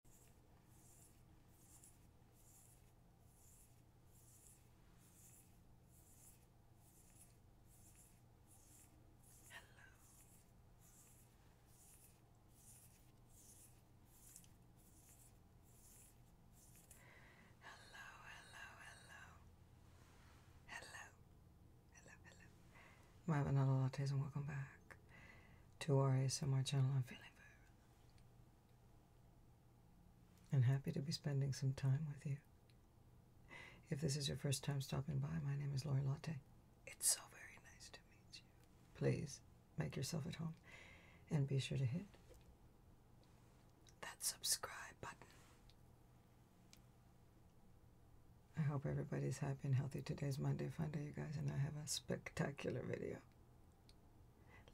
Hello. Hello, hello, hello. Hello. Hello, hello. My vanilla lattes and welcome back to our ASMR channel. I'm feeling very and happy to be spending some time with you. If this is your first time stopping by, my name is Lori Latte. It's so very nice to meet you. Please make yourself at home and be sure to hit that subscribe button. I hope everybody's happy and healthy. Today's Monday Fun Day, you guys, and I have a spectacular video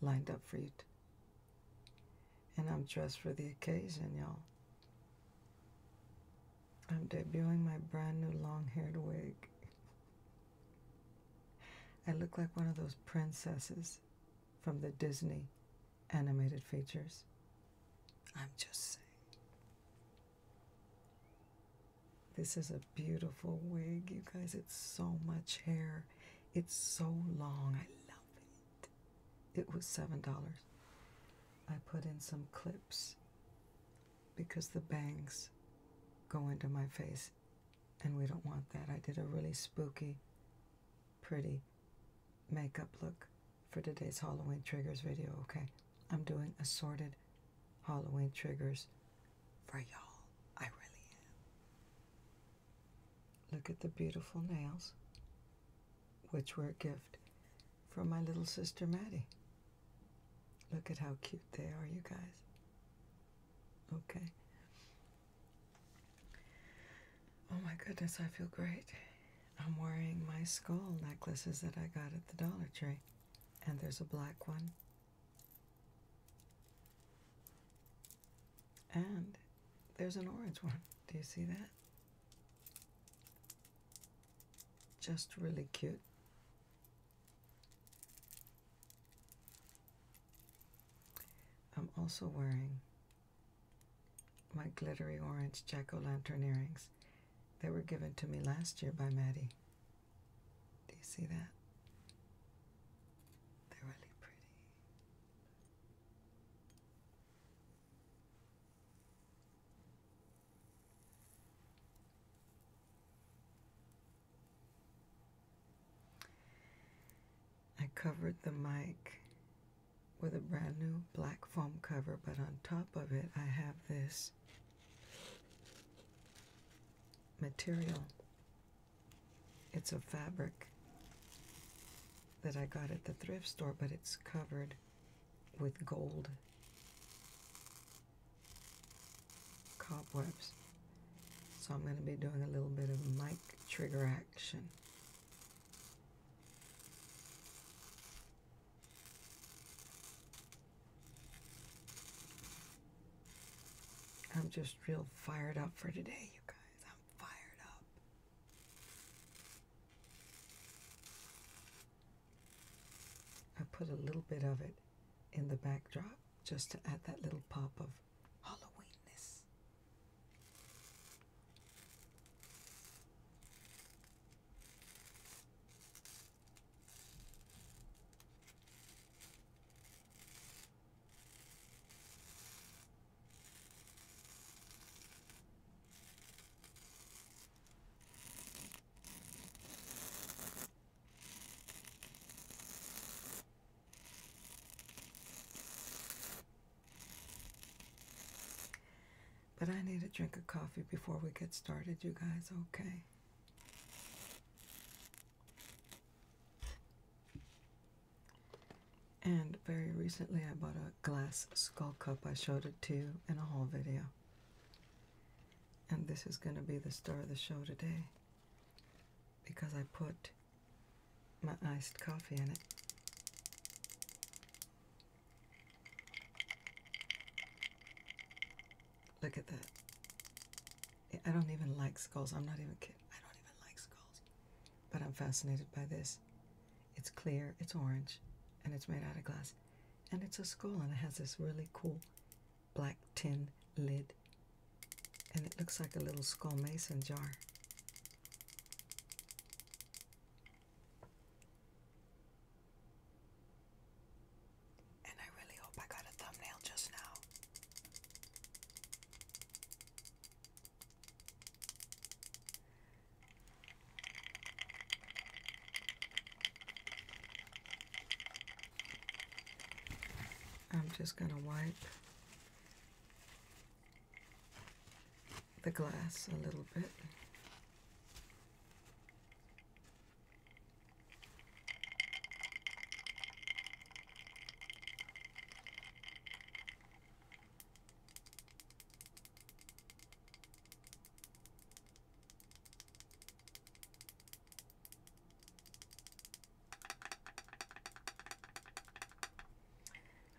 lined up for you. And I'm dressed for the occasion, y'all. I'm debuting my brand new long haired wig. I look like one of those princesses from the Disney animated features. I'm just saying. This is a beautiful wig, you guys. It's so much hair. It's so long. I love it. It was $7. I put in some clips because the bangs go into my face and we don't want that. I did a really spooky, pretty makeup look for today's Halloween Triggers video, okay? I'm doing assorted Halloween Triggers for y'all. I really am. Look at the beautiful nails, which were a gift from my little sister Maddie. Look at how cute they are, you guys. Okay. Oh my goodness, I feel great. I'm wearing my skull necklaces that I got at the Dollar Tree. And there's a black one and there's an orange one. Do you see that? Just really cute. I'm also wearing my glittery orange jack-o'-lantern earrings. They were given to me last year by Maddie. Do you see that? They're really pretty. I covered the mic with a brand new black foam cover, but on top of it, I have this material it's a fabric that I got at the thrift store, but it's covered with gold cobwebs. So I'm going to be doing a little bit of mic trigger action. I'm just real fired up for today, you guys. I'm fired up. I put a little bit of it in the backdrop just to add that little pop of Halloweenness. But I need a drink of coffee before we get started, you guys, okay? And very recently, I bought a glass skull cup. I showed it to you in a haul video. And this is going to be the star of the show today because I put my iced coffee in it. Look at that. I don't even like skulls. I'm not even kidding. I don't even like skulls. But I'm fascinated by this. It's clear, it's orange, and it's made out of glass. And it's a skull, and it has this really cool black tin lid. And it looks like a little skull mason jar. And I really hope I got a thumbnail just now. I'm just going to wipe the glass a little bit.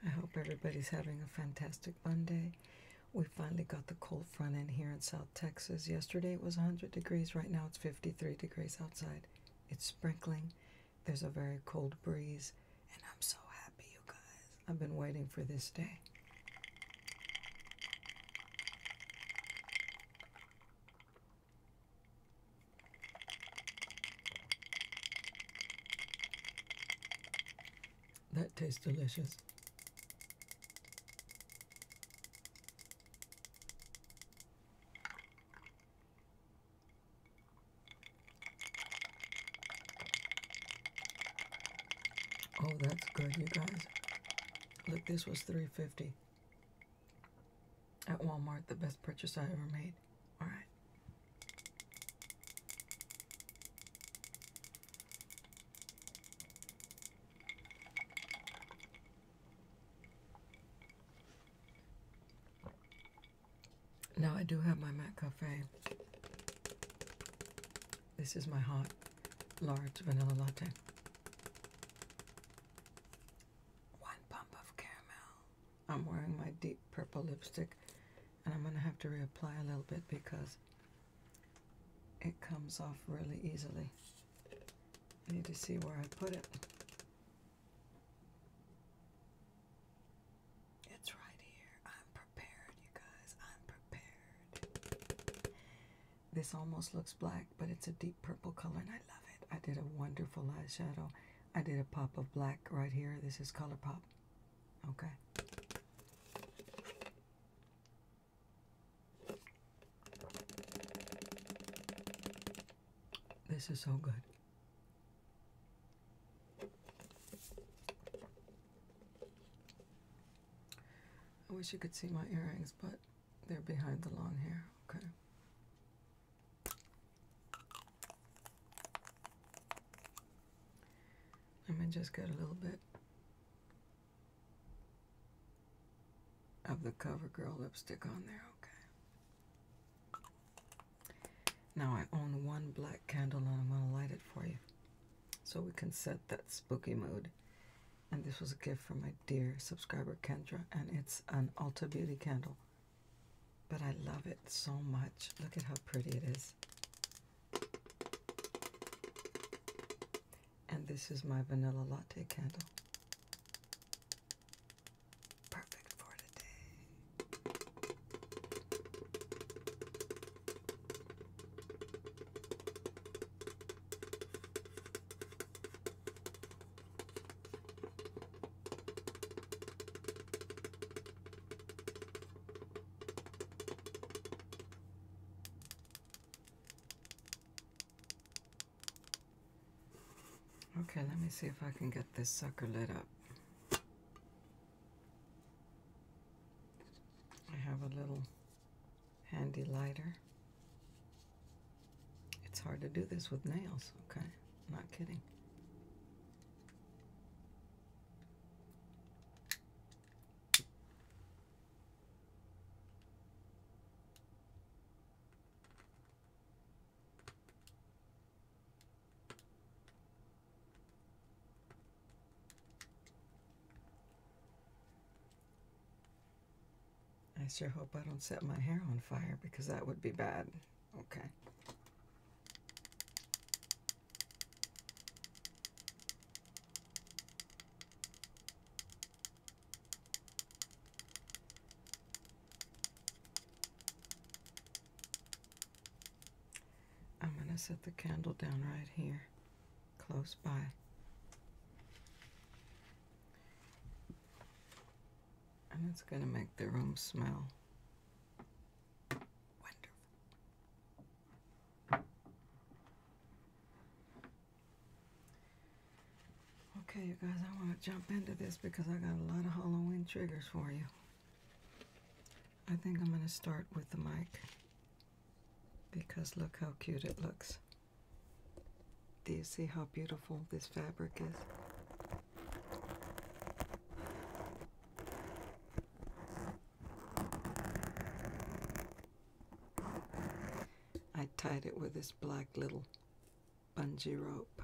I hope everybody's having a fantastic Monday. We finally got the cold front in here in South Texas. Yesterday it was 100 degrees. Right now it's 53 degrees outside. It's sprinkling. There's a very cold breeze. And I'm so happy, you guys. I've been waiting for this day. That tastes delicious. Oh, that's good, you guys. Look, this was three fifty at Walmart. The best purchase I ever made. All right. Now I do have my Mac Cafe. This is my hot large vanilla latte. One pump of caramel. I'm wearing my deep purple lipstick and I'm going to have to reapply a little bit because it comes off really easily. I need to see where I put it. It's right here. I'm prepared, you guys. I'm prepared. This almost looks black, but it's a deep purple color, and I love it. I did a wonderful eyeshadow. I did a pop of black right here. This is Color Pop. Okay. This is so good. I wish you could see my earrings, but they're behind the long hair. Okay. I'm going to just get a little bit of the CoverGirl lipstick on there, okay. Now I own one black candle and I'm going to light it for you so we can set that spooky mood. And this was a gift from my dear subscriber Kendra and it's an Ulta Beauty candle. But I love it so much. Look at how pretty it is. And this is my vanilla latte candle perfect for today. Okay, let me see if I can get this sucker lit up. I have a little handy lighter. It's hard to do this with nails, okay? Not kidding. I sure hope I don't set my hair on fire because that would be bad. Okay. I'm going to set the candle down right here, close by. And it's going to make the room smell wonderful. Okay, you guys, I want to jump into this because I got a lot of Halloween triggers for you. I think I'm going to start with the mic because look how cute it looks. Do you see how beautiful this fabric is? I tied it with this black little bungee rope.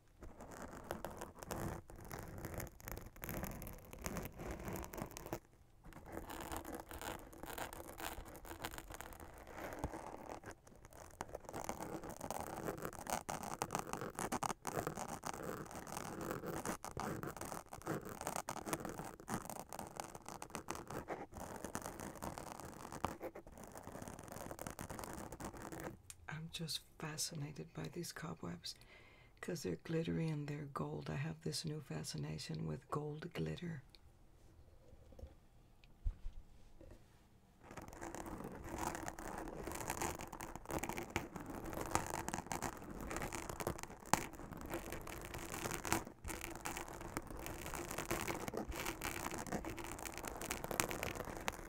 I'm just fascinated by these cobwebs because they're glittery and they're gold. I have this new fascination with gold glitter.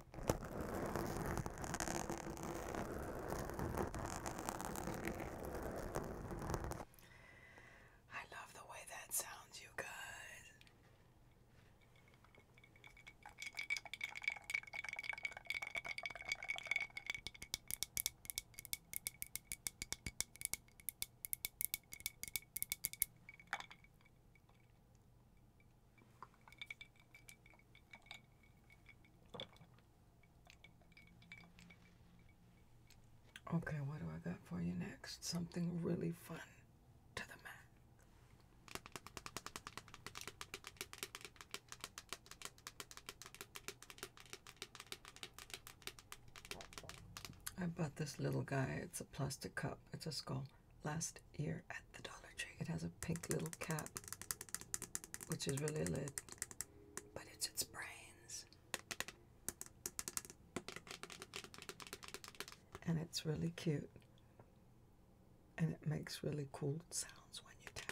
I love the way that sounds, you guys. Okay, what do I got for you next? Something really fun to the max. I bought this little guy. It's a plastic cup. It's a skull last year at the Dollar Tree. It has a pink little cap, which is really lit, but it's its brains. And it's really cute. And it makes really cool sounds when you tap.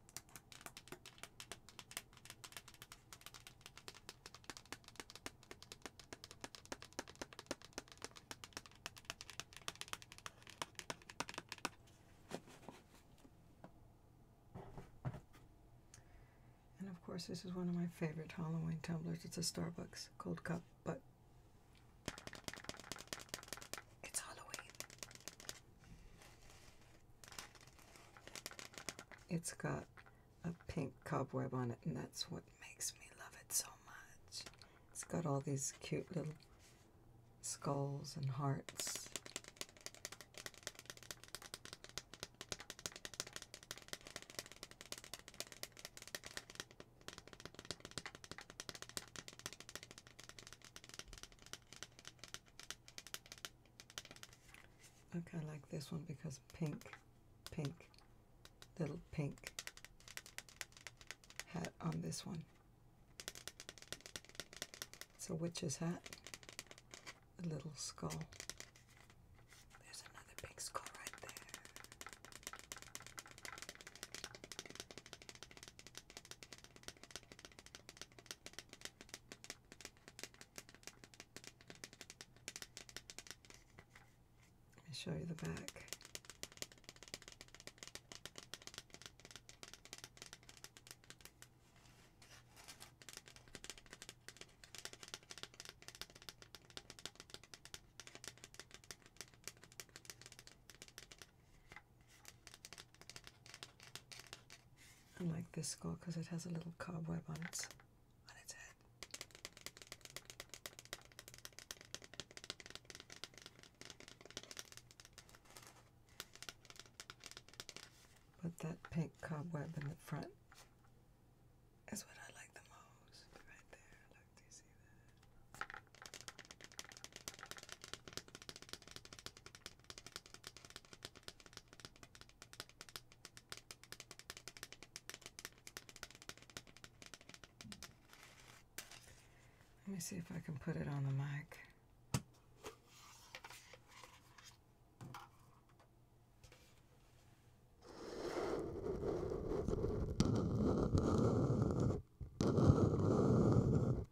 And of course, this is one of my favorite Halloween tumblers. It's a Starbucks cold cup, but it's Halloween. It's got a pink cobweb on it, and that's what makes me love it so much. It's got all these cute little skulls and hearts. Okay, I like this one because pink, pink, little pink hat on this one. It's a witch's hat, a little skull. There's another pink skull right there. Let me show you the back. I like this score because it has a little cobweb on its, on its head. But that pink cobweb in the front is what I like the most. Right there. do you see that? Let me see if I can put it on the mic.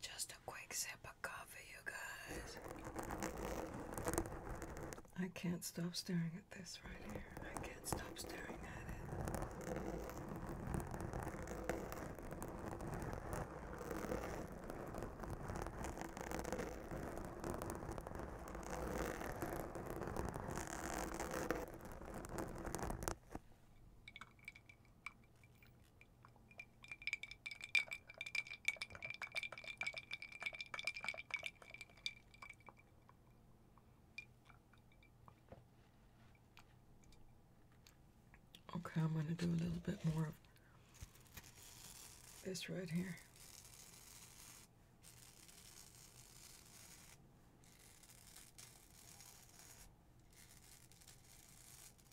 Just a quick sip of coffee, you guys. I can't stop staring at this right here. I can't stop staring at it. Okay, I'm going to do a little bit more of this right here.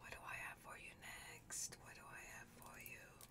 What do I have for you next? What do I have for you?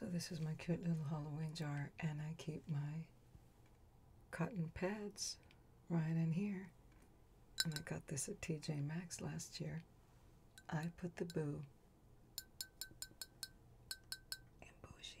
So this is my cute little Halloween jar and I keep my cotton pads right in here. And I got this at TJ Maxx last year. I put the boo in bougie.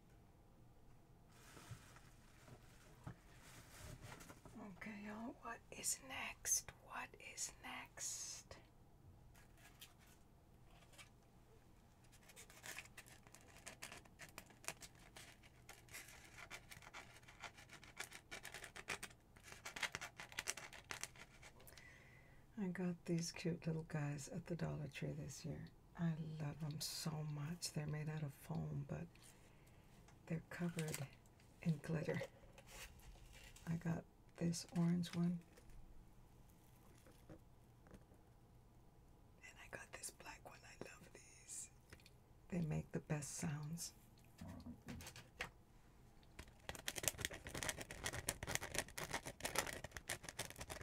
Okay, y'all, what is next? What is next? I got these cute little guys at the Dollar Tree this year. I love them so much. They're made out of foam, but they're covered in glitter. I got this orange one. And I got this black one. I love these. They make the best sounds.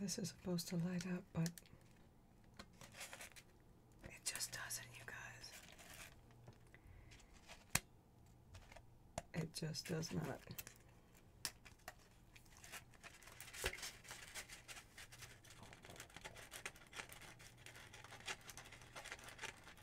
this is supposed to light up, but it just doesn't, you guys. It just does not.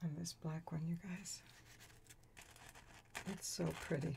And this black one, you guys, it's so pretty.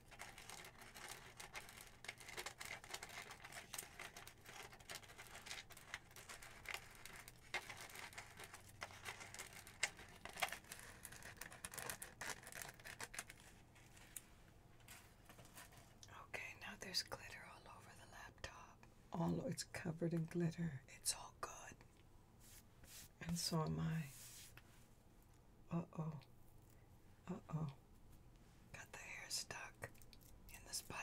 Okay, now there's glitter all over the laptop. All it's covered in glitter. It's all good. And so am I. Uh-oh. Uh-oh. Got the hair stuck in the spider.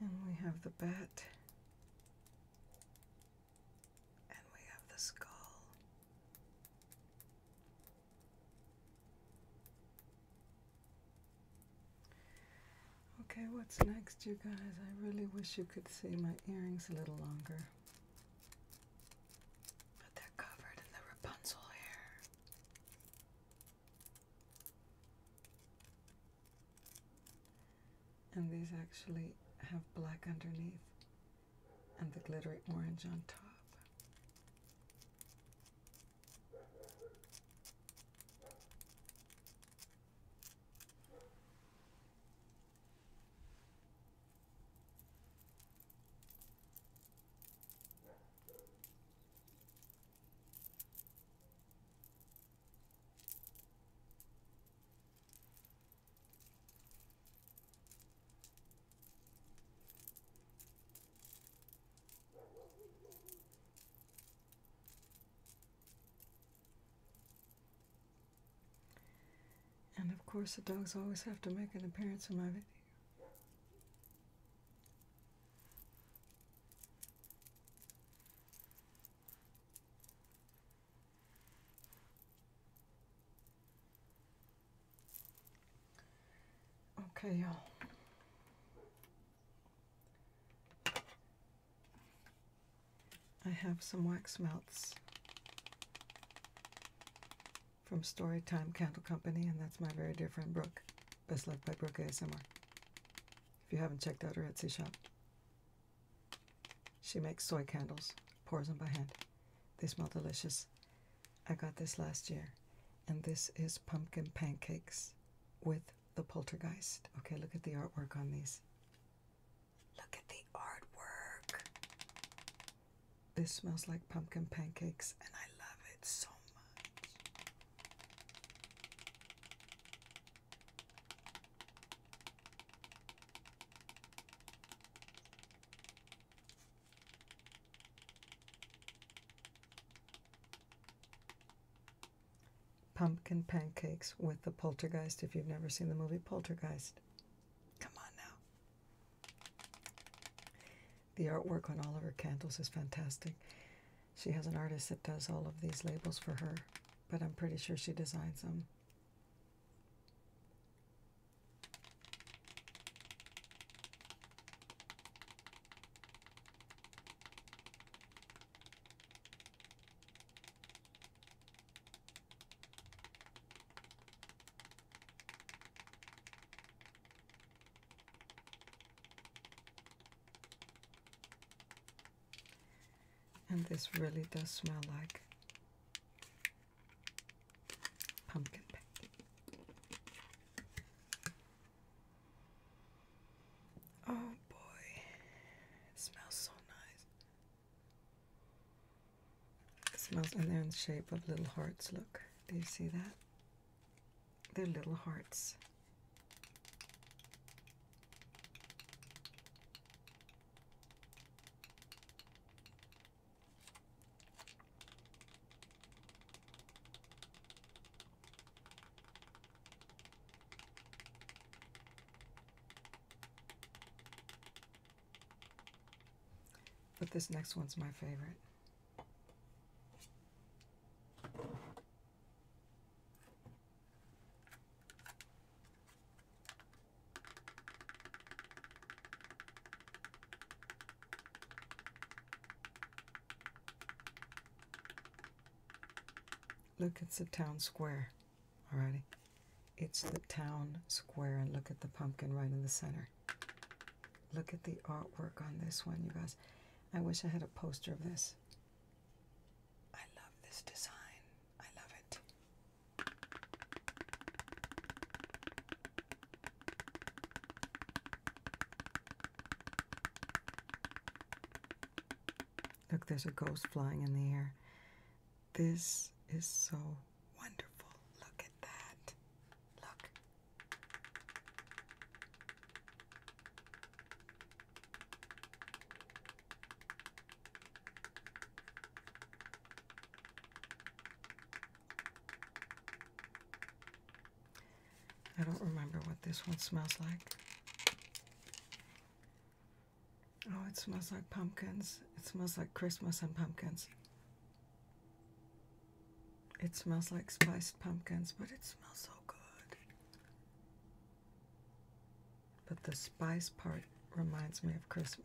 And we have the bat. And we have the skull. Okay, what's next, you guys? I really wish you could see my earrings a little longer. But they're covered in the Rapunzel hair. And these actually have black underneath and the glittery orange on top. And of course, the dogs always have to make an appearance in my video. Okay, I have some wax melts from Story Time Candle Company, and that's my very dear friend Brooke. Best Love by Brooke ASMR. If you haven't checked out her Etsy shop, she makes soy candles, pours them by hand. They smell delicious. I got this last year, and this is pumpkin pancakes with the poltergeist. Okay, look at the artwork on these. Look at the artwork. This smells like pumpkin pancakes, and I love it so much. Pumpkin pancakes with the poltergeist, if you've never seen the movie Poltergeist. Come on now. The artwork on Oliver of is fantastic. She has an artist that does all of these labels for her, but I'm pretty sure she designs them. And this really does smell like Pumpkin pie. Oh boy, it smells so nice. It smells, and they're in the shape of little hearts. Look, do you see that? They're little hearts. But this next one's my favorite. Look, it's the town square. Alrighty. It's the town square, and look at the pumpkin right in the center. Look at the artwork on this one, you guys. I wish I had a poster of this. I love this design. I love it. Look, there's a ghost flying in the air. This is so wonderful. Look at that. Look. I don't remember what this one smells like. Oh, it smells like pumpkins. It smells like Christmas and pumpkins. It smells like spiced pumpkins, but it smells so good. But the spice part reminds me of Christmas.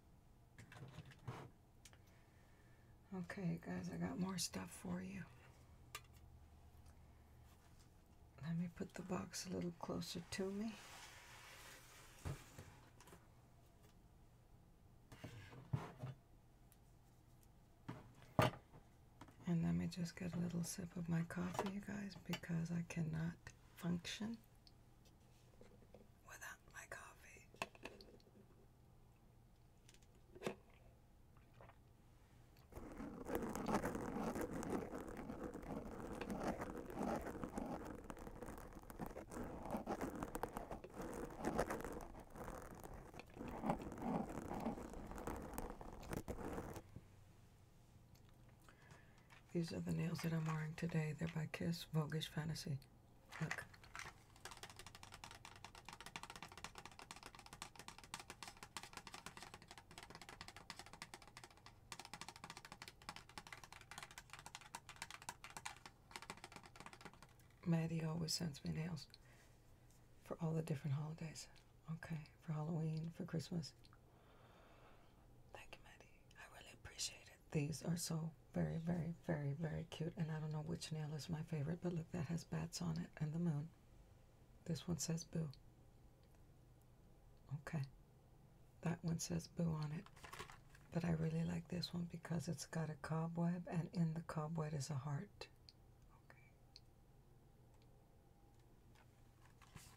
Okay, guys, I got more stuff for you. Let me put the box a little closer to me. And let me just get a little sip of my coffee, you guys, because I cannot function without my coffee. These are the nails that I'm wearing today. They're by Kiss Voguish Fantasy. Look. Maddie always sends me nails for all the different holidays. Okay, for Halloween, for Christmas. Thank you, Maddie. I really appreciate it. These are so very, very, very, very cute. And I don't know which nail is my favorite, but look, that has bats on it and the moon. This one says boo. Okay. That one says boo on it. But I really like this one because it's got a cobweb, and in the cobweb is a heart. Okay.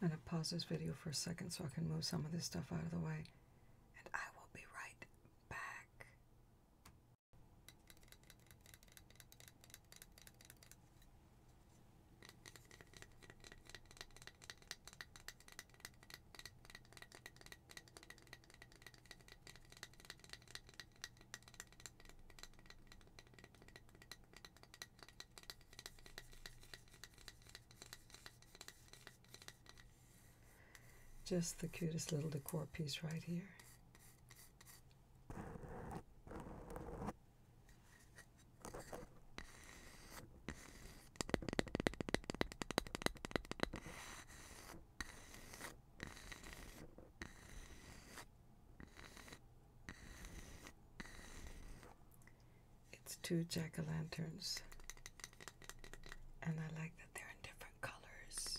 I'm going to pause this video for a second so I can move some of this stuff out of the way. And I will be right back. Just the cutest little decor piece right here. It's two jack o' lanterns, and I like that they're in different colors.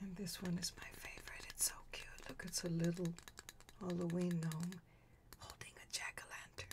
And this one is my favorite. It's so cute. Look, it's a little Halloween gnome holding a jack o' lantern.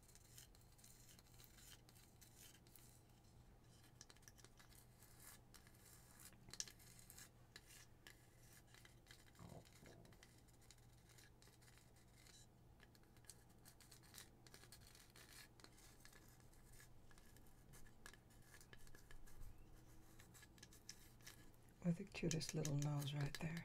With the cutest little nose right there.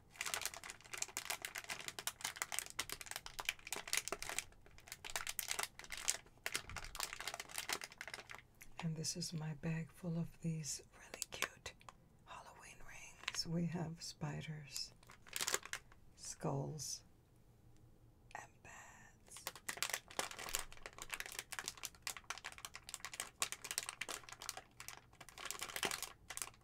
And this is my bag full of these really cute Halloween rings. We have spiders, skulls, and bats.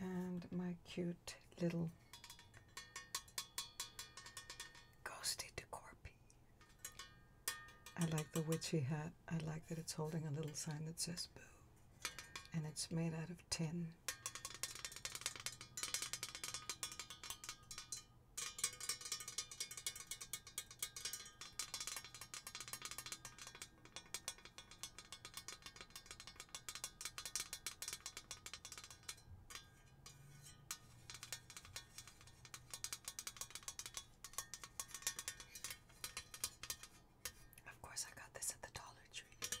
and my cute little ghosty decorpy. I like the witchy hat. I like that it's holding a little sign that says boo. And it's made out of tin. Of course, I got this at the Dollar Tree.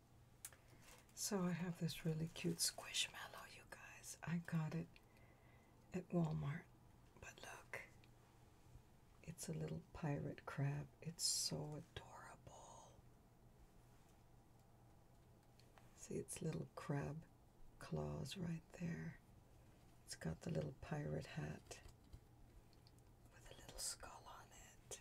So I have this really cute squishmallow, you guys. I got it at Walmart. But look, it's a little pirate crab. It's so adorable. See its little crab claws right there. It's got the little pirate hat with a little skull on it.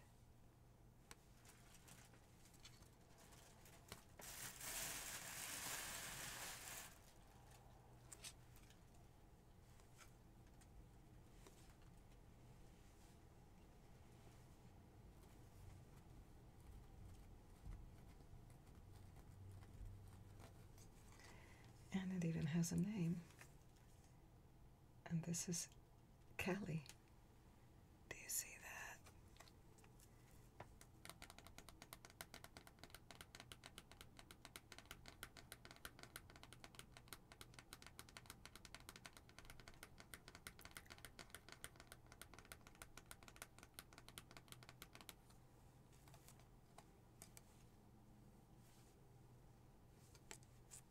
And it even has a name. And this is Kelly. Do you see that?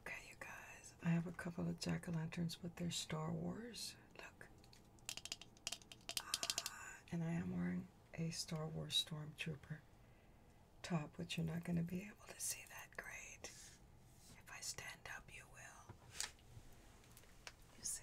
Okay, you guys, I have a couple of jack o' lanterns, but they're Star Wars. Look. Ah, and I am wearing a Star Wars Stormtrooper top, which you're not going to be able to see that great. If I stand up, you will. You see?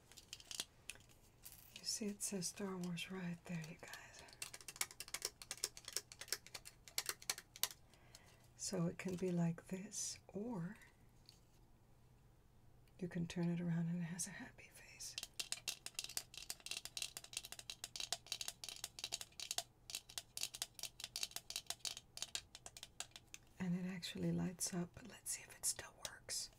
You see, it says Star Wars right there, you guys. So it can be like this, or you can turn it around and it has a happy face and it actually lights up, but let's see if it still works.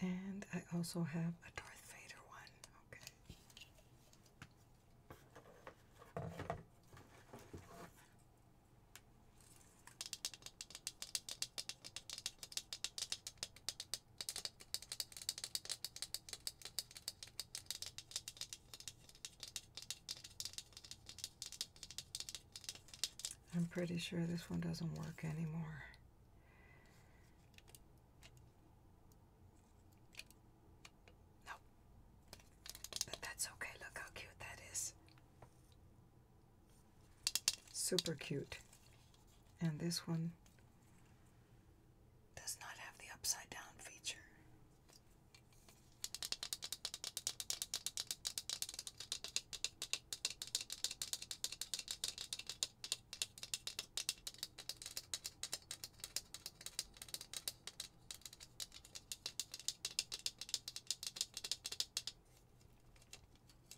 And I also have a Darth Vader one. Okay. I'm pretty sure this one doesn't work anymore. No. But that's okay. Look how cute that is. Super cute. And this one does not have the upside down feature.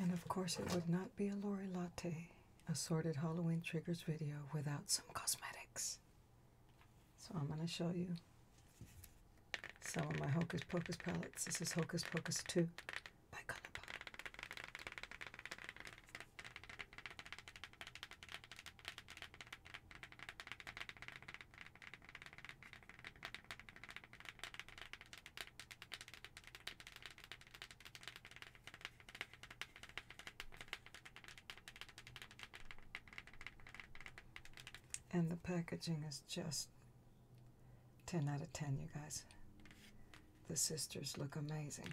And of course, it would not be a Lori Latte assorted Halloween triggers video without some cosmetics. So I'm going to show you some of my Hocus Pocus palettes. This is Hocus Pocus 2 by Colourpop. And the packaging is just 10 out of 10, you guys. The sisters look amazing.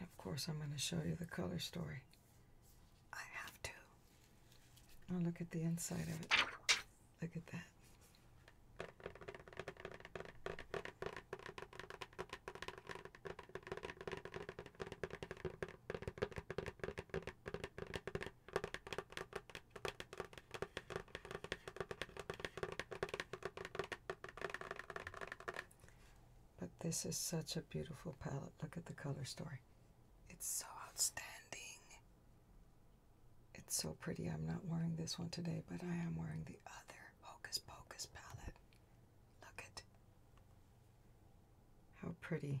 And of course, I'm going to show you the color story. I have to. Now, look at the inside of it. Look at that. But this is such a beautiful palette. Look at the color story. It's so outstanding. It's so pretty. I'm not wearing this one today, but I am wearing the other Hocus Pocus palette. Look at how pretty.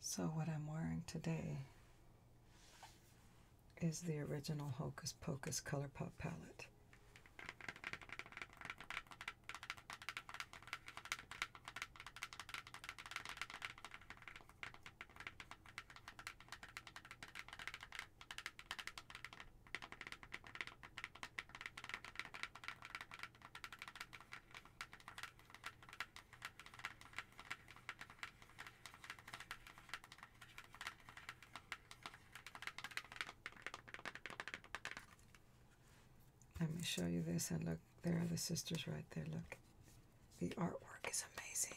So, what I'm wearing today is the original Hocus Pocus Pop palette. Let me show you this and look, there are the sisters right there. Look, the artwork is amazing.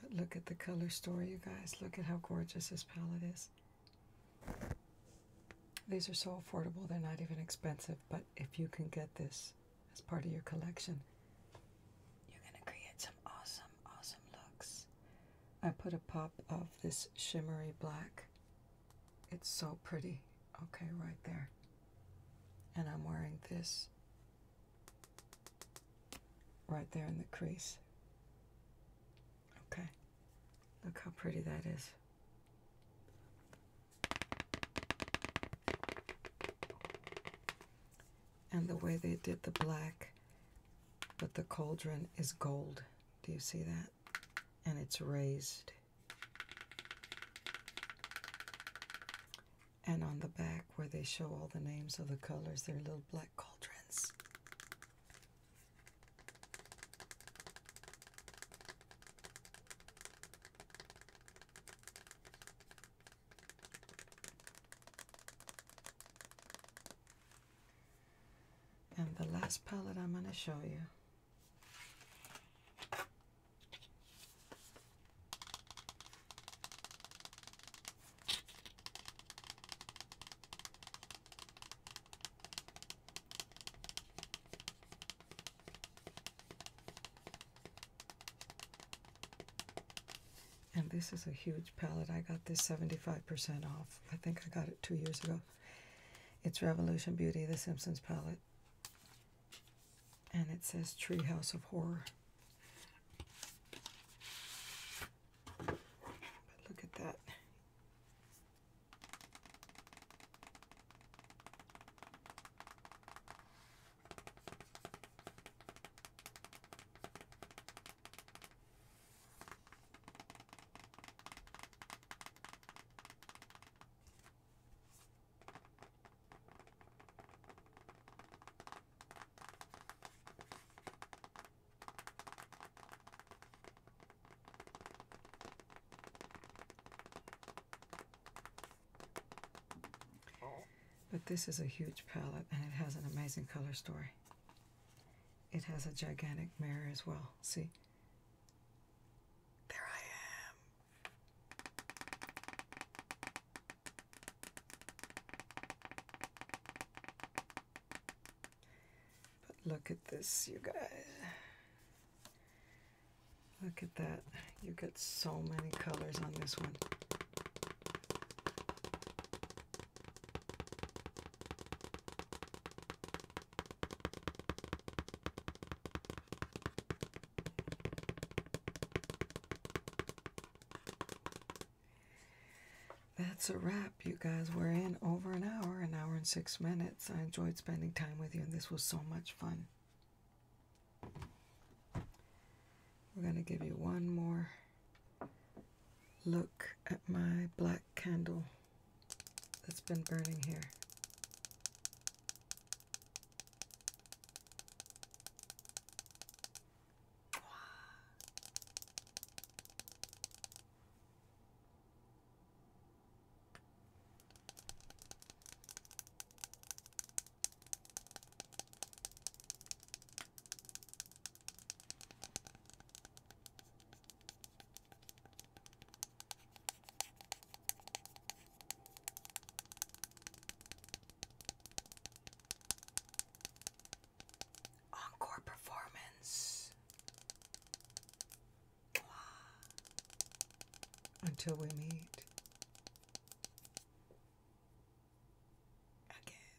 But look at the color story, you guys. Look at how gorgeous this palette is. These are so affordable, they're not even expensive, but if you can get this as part of your collection, you're gonna create some awesome, awesome looks. I put a pop of this shimmery black. It's so pretty. Okay, right there. And I'm wearing this right there in the crease. Okay, look how pretty that is and the way they did the black, but the cauldron is gold. Do you see that? And it's raised. And on the back where they show all the names of the colors, there are little black cauldrons. And the last palette I'm going to show you and this is a huge palette. I got this 75% off. I think I got it two years ago. It's Revolution Beauty, the Simpsons palette. And it says Treehouse of Horror. But look at that. But this is a huge palette and it has an amazing color story. It has a gigantic mirror as well. See? There I am. But look at this, you guys. Look at that. You get so many colors on this one. That's a wrap, you guys. We're in over an hour, an hour and six minutes. I enjoyed spending time with you, and this was so much fun. We're going to give you one more look at my black candle that's been burning here. Encore performance. Until we meet again.